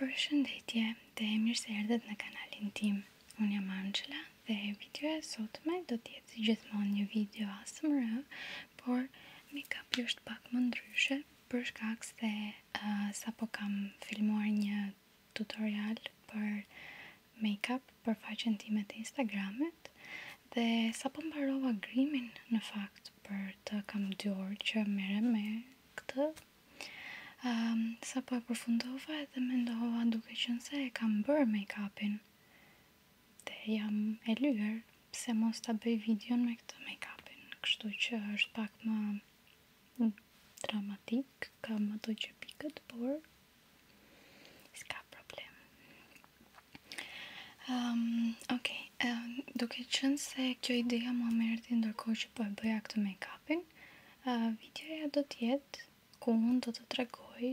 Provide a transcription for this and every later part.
Për shëndetje dhe e mirë se erdhët në kanalin tim Unë jam Angela dhe video e sot me do tjetë si gjithmon një video asë më rëvë Por mi ka pjusht pak më ndryshe Për se dhe sa po kam filmuar një tutorial për make-up Për faqen time të Instagramet Dhe sa po mbarova grimin në fakt për të kam dy orë që mere me këtë Um, sa po e përfundova edhe me ndohova duke që se e kam bërë make-upin dhe jam e lyër pse mos ta bëj videon me këtë make-upin kështu që është pak më dramatik kam ato që pikët por s'ka problem um, ok um, duke që se kjo ideja më mërë të ndërkohë që po e bëja këtë make-upin. videoja do të jetë ku unë do të tregoj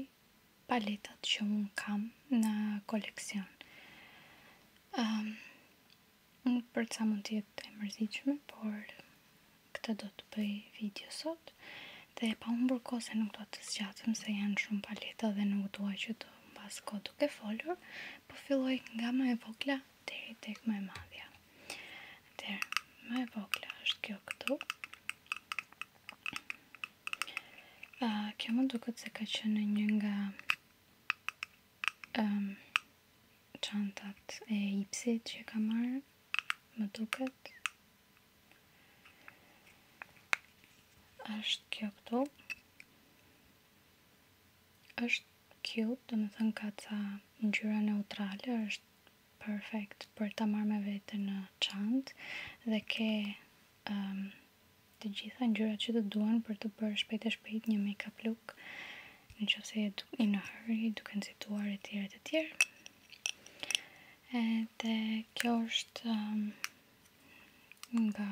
paletat që unë kam në koleksion. unë për të sa mund të jetë e mërzitshme, por këtë do të bëj video sot. Dhe pa unë burko se nuk do të zgjatëm se janë shumë paleta dhe nuk duaj që të mbas ko duke folur, po filloj nga më e vogla deri tek më e madhja. Atëherë, më e vogla është kjo këtu. Ah, kjo mund duket se ka qenë një nga ehm um, çantat e Ipsit që kam marrë. Më duket është kjo këtu është cute, dhe më thënë ka të në neutrale, është perfect për të marrë me vete në qantë, dhe ke um, të gjitha në që të duen për të bërë shpejt e shpejt një make-up look, në që se e duke në hurry, duke në situar e tjere të tjere. Dhe kjo është um, nga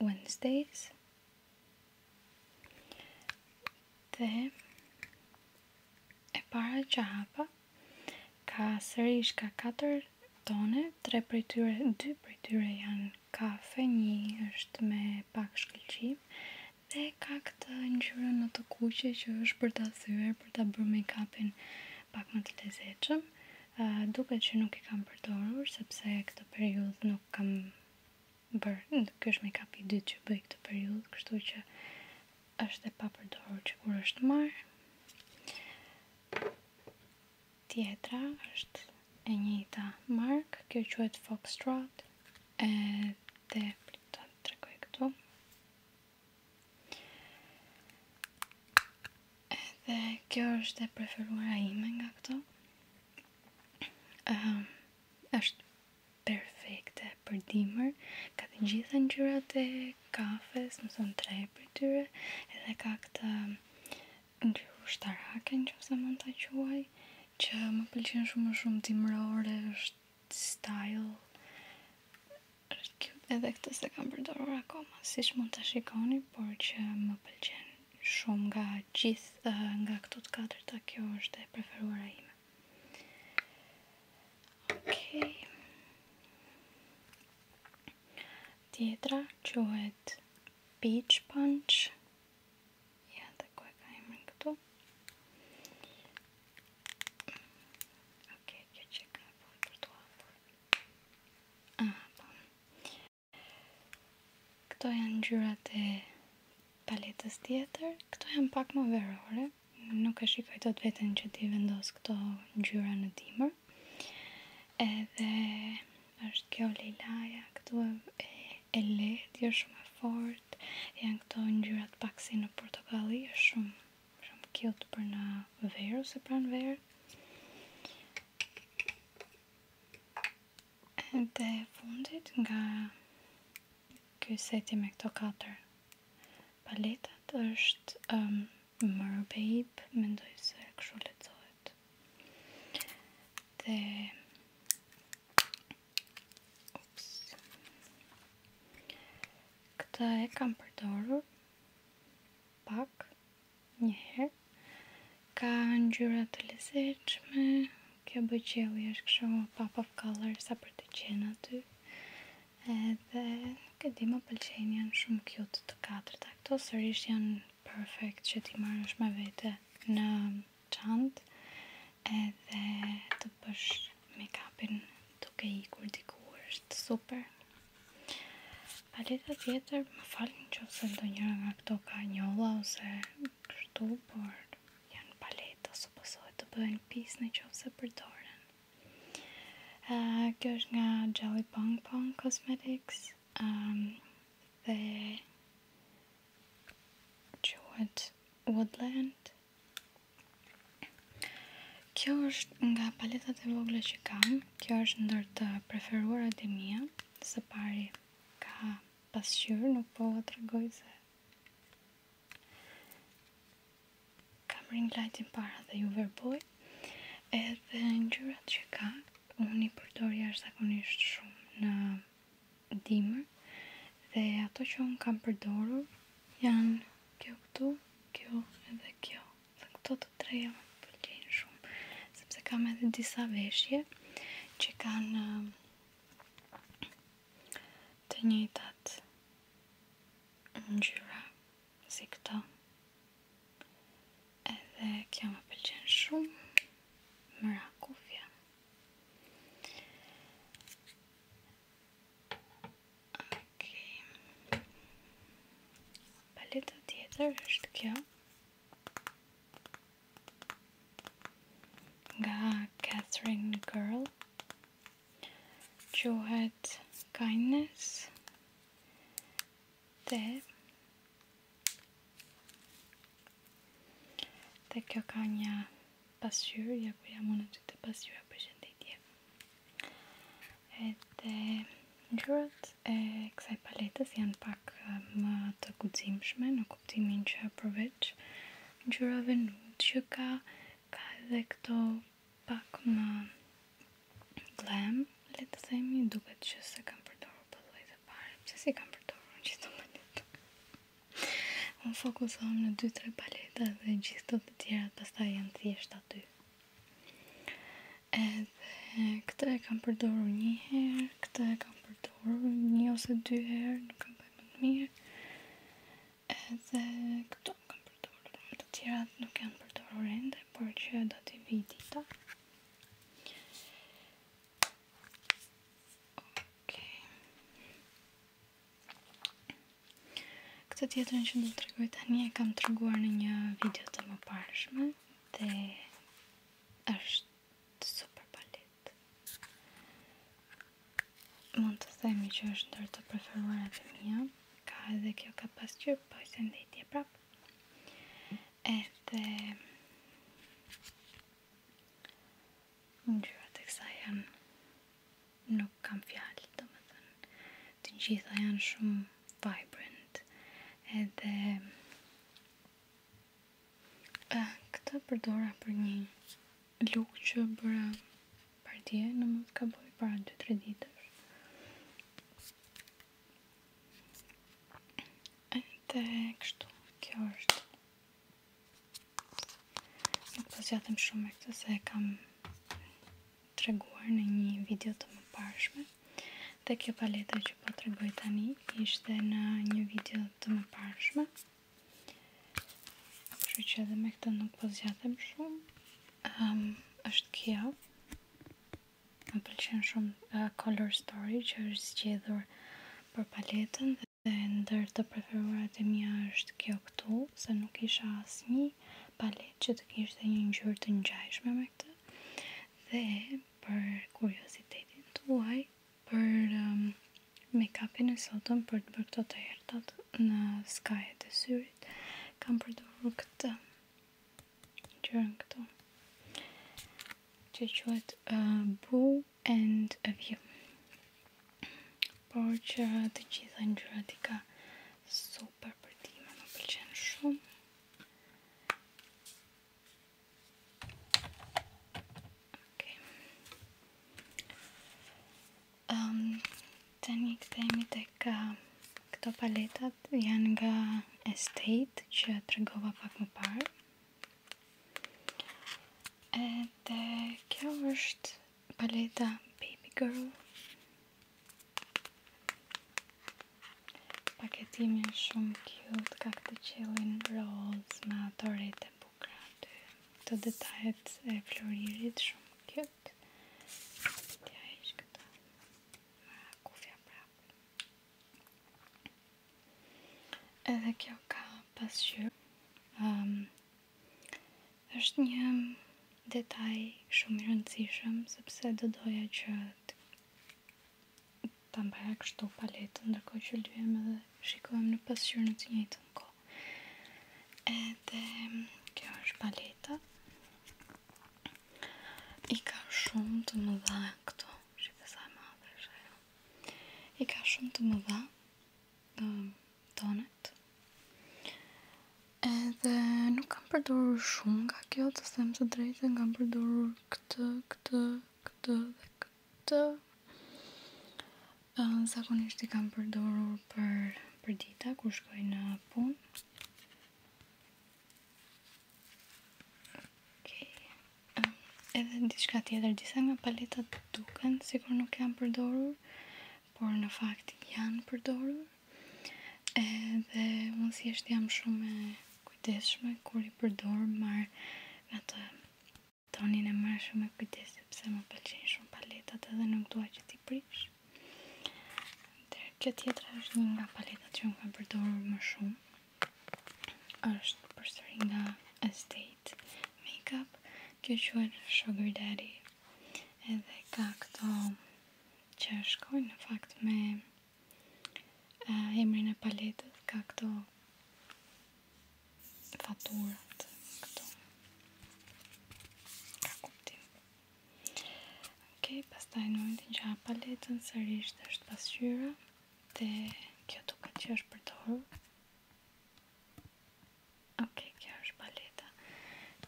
Wednesdays. Dhe e para që hapa, ka sërish ka 4 tone, 3 për tyre, 2 për tyre janë kafe, një është me pak shkëllqim, dhe ka këtë një qërën në të kuqe që është për të thyre, për të bërë me kapin pak më të lezeqëm uh, duke që nuk i kam përdorur sepse këtë periudhë nuk kam bërë ndo ky është make-up i dytë që bëj këtë periudhë, kështu që është e papërdorur që kur është marr. Tjetra është e njëjta markë, kjo quhet Fox Trot. ë këtu. Edhe kjo është e preferuara ime nga këto. Um, është perfekte për dimër, ka të gjitha ngjyrat e kafes, më thonë tre për tyre, edhe ka këtë ngjyrë nëse më të quaj, që më pëlqen shumë shumë timrore, është style edhe këtë se kam përdorur akoma, siç mund ta shikoni, por që më pëlqen shumë nga gjithë nga këto të katërta kjo është e preferuara ime. Okej. Okay. Tjetra quhet Peach Punch. Ja, të ku ka ime këtu. Okej, okay, kjo që ka për të hapur. Ah, po. Këto janë gjyrat e paletës tjetër. Këto janë pak më verore. Nuk e shikoj të të vetën që ti vendos këto gjyra në dimër. Edhe është kjo lejlaja, këto e, e letë, jo shumë e fort. Janë këto ngjyrat pak si në portokalli, është shumë shumë cute për në verë ose pranë verë. Dhe fundit nga ky seti me këto 4 paletat është um, Mer Babe, mendoj se kështu lexohet. Dhe Ups. Këtë e kam përdorur pak njëherë. Ka ngjyra të lezetshme, kjo bëqelli është kështu pop of color sa për të qenë aty. Edhe këtë më pëlqejnë janë shumë cute të katërt. këto sërish janë perfect që ti marrësh me vete në çantë edhe të bësh make-upin duke i kur është super Paleta tjetër më falin që ose ndo njëra nga këto ka njolla ose kështu, por janë paleta së pësohet të bëhen pisë në që ose përdoren. kjo është nga Jelly Pong Pong Cosmetics um, dhe quet Woodland. Kjo është nga paletat e vogle që kam, kjo është ndër të preferuarat e mia. Së pari ka pasqyrë, nuk po vë tregoj se kam rinë lajtin para dhe ju verboj. Edhe ngjyrat që ka, unë i përdor jashtëzakonisht shumë në dimër dhe ato që unë kam përdorur janë kjo këtu, kjo edhe kjo dhe këto të treja më pëlqen shumë sepse kam edhe disa veshje që kanë të njëjtat në gjyra si këto. edhe kjo më pëlqen shumë më rakufja ok paleta tjetër është kjo nga Catherine Girl quhet Kindness dhe dhe kjo ka një pasyrë, ja ku jam unë të të pasyrë për shëndetje edhe ngjyrat e kësaj paletës janë pak më të guximshme në kuptimin që përveç ngjyrave nude që ka ka edhe këto pak më glam le të duket që se kam përdorur për lloj të parë pse si kam përdorur gjithë të mendoj un fokusohem në dy tre paleta dhe gjithë të tjera pastaj janë thjesht aty edhe këtë e kam përdoru një herë, këtë e kam përdoru një ose dy herë, nuk kam më të mirë, edhe këto kam përdoru dhe të tjera nuk janë përdoru ende, por që do t'i viti ta. Këtë tjetërën që do të regoj tani e kam të reguar në një video të më parëshme. Milan dhe është super palet. Mund të themi që është ndër të preferuara të mia, ka edhe kjo ka pasqyrë po se ndëti prap. Edhe Ndjyra të kësa janë nuk kam fjallë, të më thënë, të gjitha janë shumë vibrant edhe uh, këta përdora për një look që bëra për në mund ka bëj para 2-3 ditë edhe kështu kjo është nuk të po zjatëm shumë me këtë se kam të reguar në një video të më pashme dhe kjo paleta që po të reguar tani ishte në një video të më pashme që që edhe me këta nuk po zjatëm shumë ehm, është kjo më pëlqen shumë color story që është zgjedhur për paletën dhe ndër të preferuarat e mia është kjo këtu se nuk isha asë një palet që të kishtë një njërë të njajshme me dhe për kuriositetin tuaj për um, make-upin e sotëm për të bërë këto të hertat në skajet e syrit kam përdojrë këtë gjërën këto që qëhet uh, Boo and a View por që të gjitha në gjërat i ka so për përpërtime më pëlqen shumë të një këtemit e ka këto paletat janë nga Estate që të regova pak më parë kjo është paleta Baby Girl Paketimi është shumë cute, ka këtë qelin rose me ato rete bukra të, Këto detajet e floririt shumë cute. Tja ishë këta me kufja prapë. Edhe kjo ka pasqyrë. Um, është një detaj shumë i rëndësishëm sepse do doja që të mbaja kështu paletë Ndërkohë që lujem edhe shikojmë në pasqyrë në të njëtë në kohë edhe mm, kjo është paleta i ka shumë të më dha këto që të sa më dhe shajo i ka shumë të më dha mm, tonet Edhe nuk kam përdorur shumë nga kjo, të them së drejtën, kam përdorur këtë, këtë, këtë dhe këtë. Ëm zakonisht i kam përdorur për për dita kur shkoj në punë. edhe diçka tjetër, disa nga paletat duken sikur nuk janë përdorur, por në fakt janë përdorur edhe unë si është jam shumë e kujdeshme kur i përdor mar nga të tonin e marë shumë e kujdes sepse më pëlqen shumë paletat edhe nuk duaj që ti prish dhe që tjetra është një nga paletat që unë kam përdorur më shumë është përsëri nga Estate Makeup kjo që Sugar Daddy edhe ka këto që shkojnë në fakt me emrin e paletës ka këto faturat këto ka kuptim ok, pas taj në vendin që paletën sërrisht është pasqyra dhe kjo tuk që është për të ok, kjo është paleta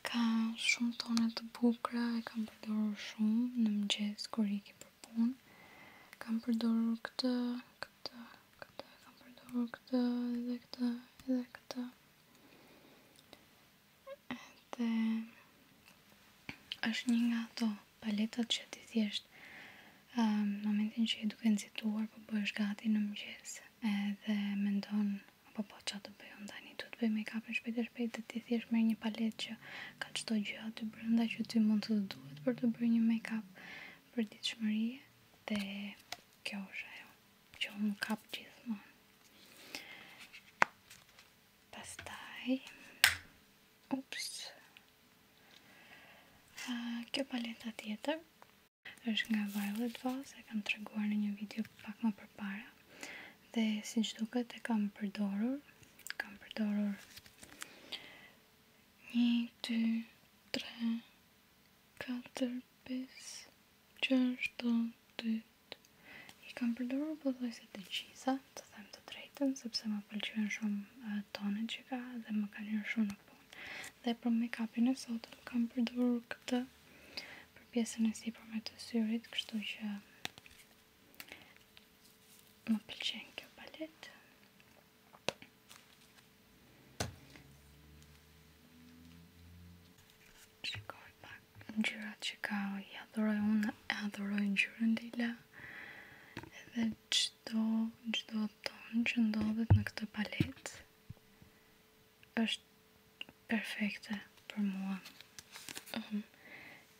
ka shumë tone të bukra, e kam përdorur shumë në mëgjes kër i ki për punë. Kam përdorur këtë, këtë, këtë, kam përdorur këtë, edhe këtë, edhe këtë. Dhe është një nga ato paletat që ti thjesht në momentin që i duke nëzituar për po bësh gati në mëgjes edhe me ndonë apo po, po që të bëjë ndani të të bëjë make up në shpejt e shpejt dhe ti thjesht me një palet që ka qëto gjë të bërë që ti mund të duhet për të bërë një make up për ditë shmëri dhe kjo është ajo, që unë më kapë gjithmon pastaj ups kjo paleta tjetër është nga Violet Voss, e kam të reguar në një video pak më përpare dhe si që duket e kam përdorur kam përdorur 1, 2, 3, 4, 5, 6, 7, 8 i kam përdorur përdoj se të qisa të them të drejten sepse më pëlqenë shumë tonet që ka dhe më kanë një shumë në punë dhe për make-upin e sotëm kam përdorur këtë për pjesën e si për me të syrit kështu që më pëlqen kjo palet shikoj pak në gjyra që ka i adhuroj unë e adhuroj në gjyra në dila edhe qdo qdo ton që ndodhet në këtë palet është perfekte për mua. Ehm,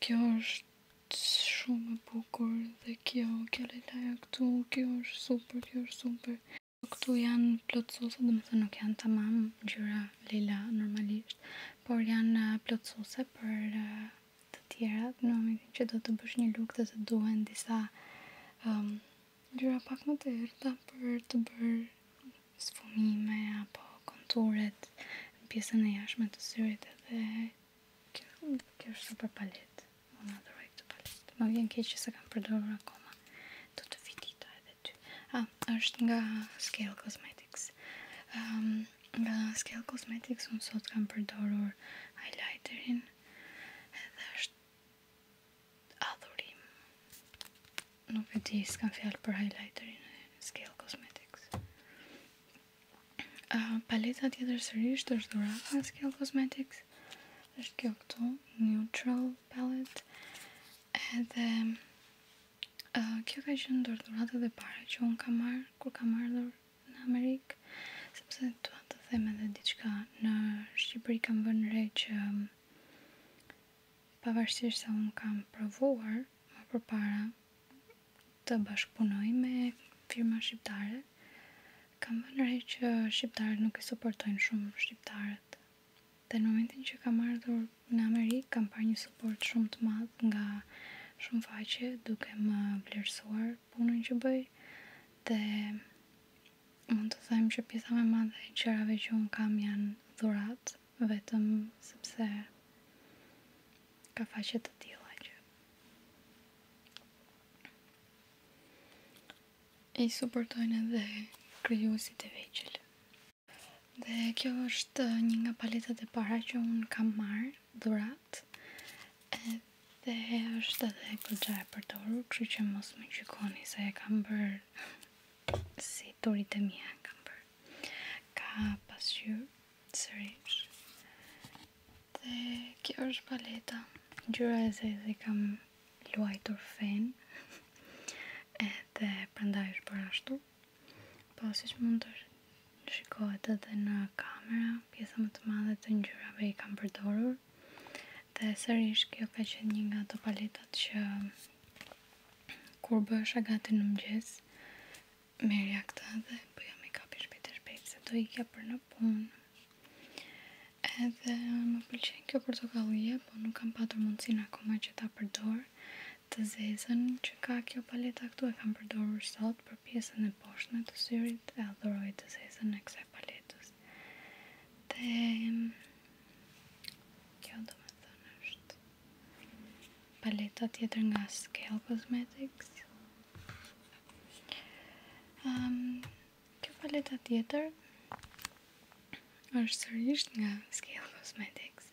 kjo është shumë e bukur dhe kjo kjo këtu, kjo është super, kjo është super. Këtu janë plotësuse, dhe më thë nuk janë të mamë, gjyra lila normalisht, por janë eh, plotësuse për eh, të tjerat, në më që do të bësh një lukë dhe të duhen disa ehm, gjyra pak më të erta për të bërë sfumime apo konturet në pjesën e jashme të syrit edhe kjo kjo është super paletë. Unë adhëroj këtë paletë. Më vjen keq se kam përdorur akoma. Do të vitita edhe ty. Ah, është nga Skell Cosmetics. Ehm, um, nga Skell Cosmetics unë sot kam përdorur highlighterin. Edhe është adhurim nuk e di s'kam fjalë për highlighterin e scale cosmetics uh, paleta tjetër sërrisht është dhurata në scale cosmetics është kjo këtu neutral palette edhe uh, kjo ka qenë dhurë dhurata dhe pare që unë ka marrë kur ka marrë në Amerikë sepse të atë të theme dhe diqka në Shqipëri kam vënë re që pavarësisht sa unë kam provuar më përpara të bashkëpunoj me firma shqiptare, kam vënë re që shqiptarët nuk e suportojnë shumë shqiptarët. Dhe në momentin që kam ardhur në Amerikë, kam parë një suport shumë të madh nga shumë faqe duke më vlerësuar punën që bëj dhe mund të them që pjesa më e madhe e qërave që un kam janë dhuratë vetëm sepse ka faqet të tila që i supportojnë edhe kryusit e veqëllë. Dhe kjo është një nga paletat e para që unë kam marrë dhurat Dhe është edhe këtë gjaj për të që që mos më qikoni se e kam bërë si turit e mija kam bërë ka pasqyr sërish dhe kjo është paleta gjyra e zezë dhe kam luajtur fen edhe prandaj është për ashtu pasi po që mund të shikohet edhe në kamera pjesa më të madhe të ngjyrave i kam përdorur dhe sërish kjo ka qenë një nga ato paletat që kur bësha gati në mëgjes, merja këta dhe bëja me kapi shpejt e shpejt, se do i kja për në punë. Edhe më pëlqen kjo portokallie, po nuk kam patur mundësin akoma që ta përdor të zezën që ka kjo paleta këtu e kam përdorur sot për pjesën e poshtme të syrit e adhoroj të zezën e kësaj paletës. Dhe... Kjo do me thënë është paleta tjetër nga Scale Cosmetics. kjo paleta tjetër është sërish nga Scale Cosmetics.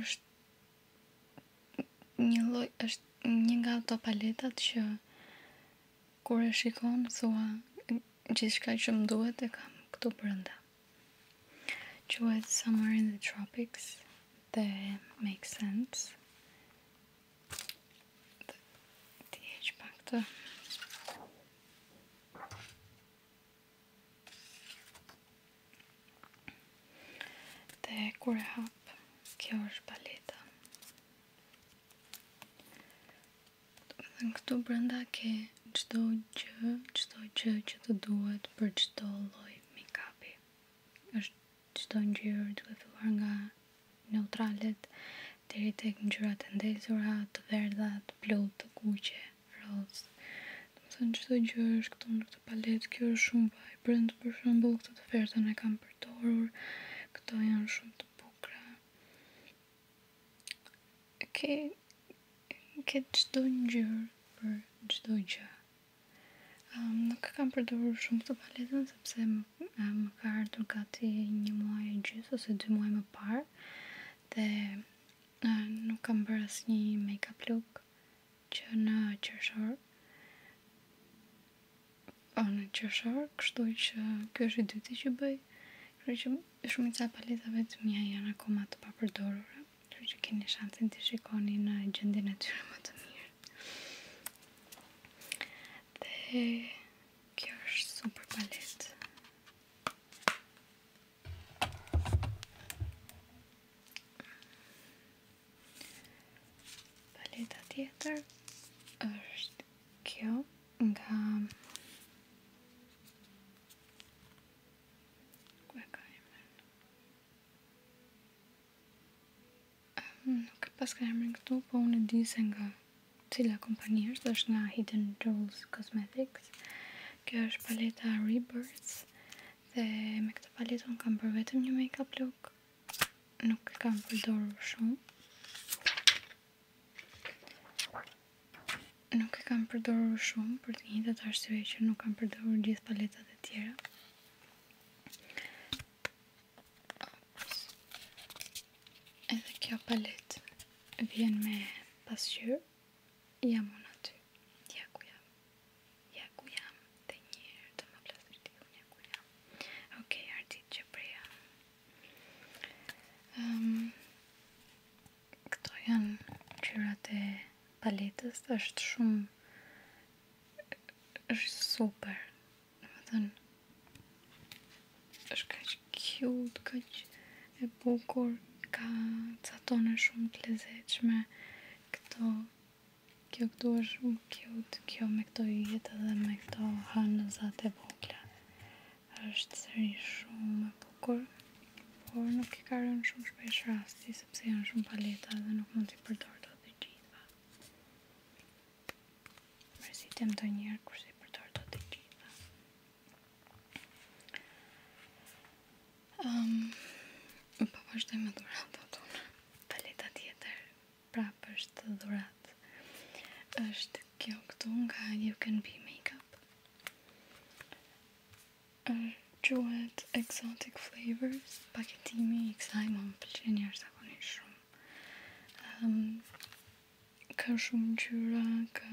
është një lloj është një nga ato paletat që Kur e shikon, thua, gjithçka që më duhet e kam këtu përënda. Quet Summer in the Tropics dhe Make Sense. Dhe ti e që pak Dhe kur e hap, kjo është paleta. Dhe në këtu brenda ke qdo gjë, qdo gjë që të duhet për qdo loj make-upi. është qdo në gjyrë të filluar nga neutralet, deri tek ngjyrat e ndezura, të verdha, të plotë, të kuqe, roz. Do të thonë çdo gjë është këtu në këtë paletë, kjo është shumë vibrant për shembull, këtë të verdën e kam përdorur. Këto janë shumë të bukra Oke Këtë gjithdo një gjërë Për gjithdo gjë. gjërë Nuk e kam përdojrë shumë të paletën Sepse më ka ardhur gati një muaj e gjithë Ose dy muaj më parë Dhe nuk kam bërë asë një make-up look Që në qërshorë anë që shërë, kështu që kjo është i dyti që bëj, kërë që shumë i ca paletave të mija janë akoma të Kështu kërë që keni shansin të shikoni në gjendin e tyre më të mirë. Dhe kjo është super palet. Paleta tjetër është kjo nga nuk e pas ka emrin këtu, po unë e di se nga cila kompani është, është nga Hidden Jewels Cosmetics. Kjo është paleta Rebirth dhe me këtë paletë unë kam për vetëm një make-up look nuk e kam përdorur shumë nuk e kam përdorur shumë për të njëjtë arsye që nuk kam përdorur gjithë paletat e tjera edhe kjo palet vjen me pasqyr jam unë aty ja ku jam ja ku jam dhe njërë të më plasë të të të Ehm, këto janë e paletës, është shumë, është super, është ka që kjut, ka që e bukur, ka të shumë të lezeqme, kjo këtu është shumë cute kjo me me këto jetë dhe me këto hanë e vogla. është sëri shumë më bukur, por nuk i karën shumë shpesh rasti, sepse janë shumë paleta dhe nuk mund t'i përdor të t'i gjitha. Mërësi tem të njerë kërës i përdor të t'i gjitha. më Po vazhdoj me dhuratë të tunë. Paleta tjetër prap është dhurat është kjo këtu nga you can be makeup është exotic flavors paketimi i kësaj më më pëllqenja është akonisht shumë ka shumë gjyra ka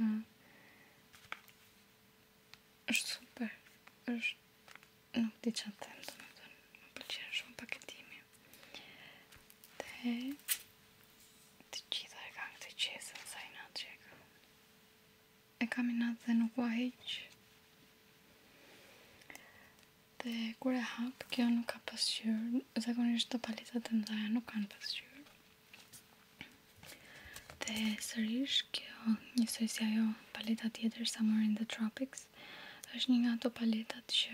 është super është nuk ti qëtë themë të më pëllqenja shumë paketimi të gjitha e kam të qesën sa i natë që e kam e kam i natë dhe nuk va heq dhe kur e hap kjo nuk ka pasqyr zakonisht të palitat të mdhaja nuk kanë pasqyr dhe sërish kjo njësoj si ajo palitat tjetër sa morin the tropics është një nga të palitat që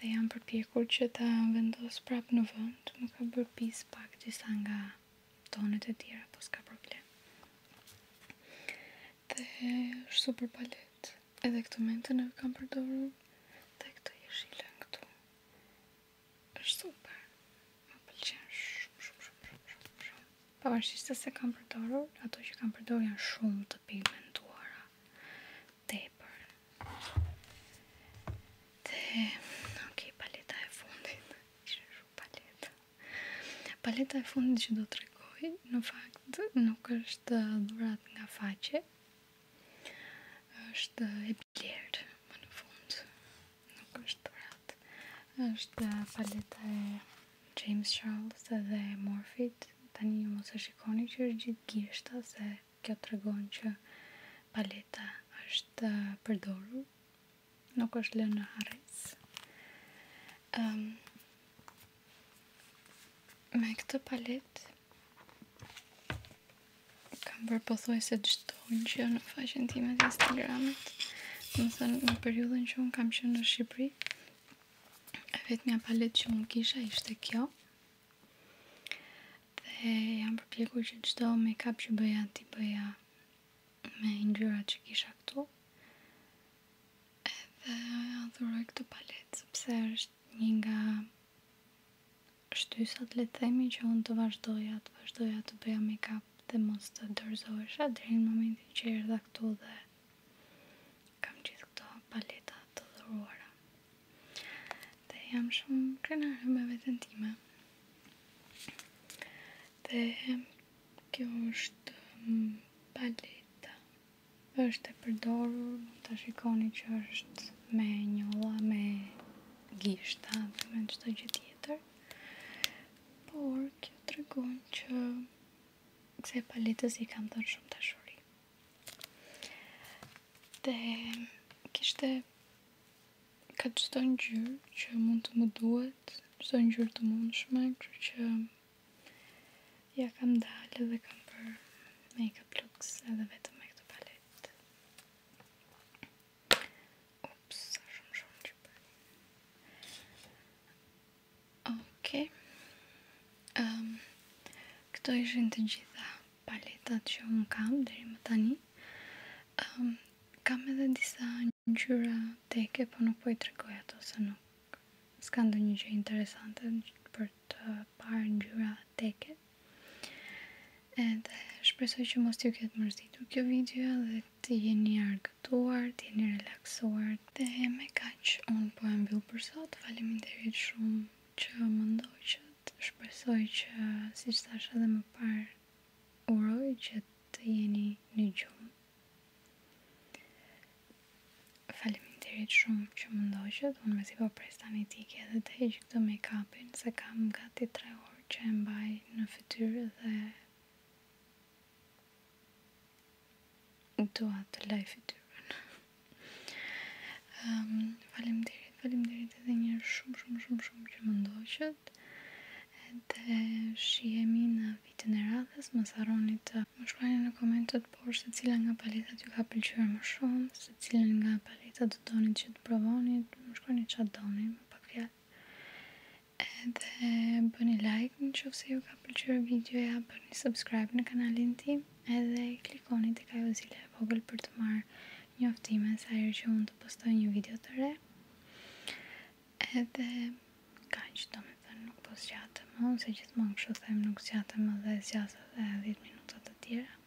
dhe jam përpjekur që ta vendos prap në vënd, më ka bërë pis pak disa nga tonet e tjera, po s'ka problem. Dhe është super palet, edhe këtë mentën e kam përdoru, dhe këtë jeshile në këtu. është super. Më pëlqen shumë, shumë, shumë, shumë, shumë. Pa se kam përdoru, ato që kam përdoru janë shumë pigmentuara tepër. Dhe, ok, paleta e fundit, që shumë paleta. Paleta e fundit që do të regoj, në fakt, nuk është dhurat nga faqe, është e bjerë, më në fund, nuk është dhurat, është paleta e... James Charles dhe Morfit, tani ju mos e shikoni që është gjithë gishta se kjo të regon që paleta është përdoru, nuk është lënë në hares ehm, me këtë palet, kam bërë pëthoj se gjithë që në faqen time të Instagramit, më thënë në periudën që unë kam që në Shqipëri, e vetë një palet që më kisha ishte kjo dhe jam përpjekur që qdo me kap që bëja ti bëja me ndyra që kisha këtu edhe dhuroj këtë palet sepse është një nga shtysat le të themi që unë të vazhdoja të vazhdoja të bëja make-up dhe mos të dërzoesha dhe në momentin që erdha këtu dhe kam gjithë këto paleta të dhuruara dhe jam shumë krenare me vetën time dhe kjo është mm, paleta është e përdorur të shikoni që është me njolla, me gishta dhe me qëto gjithë tjetër por kjo të regon që se paletës i kam dhënë shumë të shuri. Dhe kishte këtë qëto një gjyrë që mund të më duhet, qëto një gjyrë të mund shme, kërë që ja kam dalë dhe kam për make-up looks edhe vetë. Okej. Okay. Ehm, këto ishin të gjitha paletat që më kam deri më tani. Ehm, kam edhe disa ngjyra teke, po nuk po i tregoj ato se nuk s'ka ndonjë gjë interesante për të parë ngjyra teke. Edhe shpresoj që mos t'ju këtë mërzitur kjo video dhe t'jeni jeni argëtuar, t'jeni relaksuar dhe me kaq un po e mbyll për sot. Faleminderit shumë që më ndoj që të shpresoj që si që thash edhe më parë uroj që të jeni një gjumë. Faleminderit shumë që më ndoj që të unë me si po pres të anitike dhe të heqë këto make-upin se kam gati 3 orë që e mbaj në fëtyrë dhe Do atë life të tyre. Ehm, um, faleminderit, faleminderit edhe një herë shumë shumë shumë shumë që më ndoqët. Edhe shihemi në vitin e radhës, mos harroni të më shkruani në komentet por se cila nga paletat ju ka pëlqyer më shumë, se cilën nga paletat do doni të provoni, më shkruani çfarë doni. Yeah. Edhe bëni like në që se ju ka ka përqyrë videoja, bërë një subscribe në kanalin tim edhe klikoni të kajo zile e vogël për të marrë një sa herë që mund të postoj një video të re edhe ka që do me them, nuk post gjatë më se gjithë më në të them nuk së shumë më dhe së gjatë dhe 10 minutat të tjera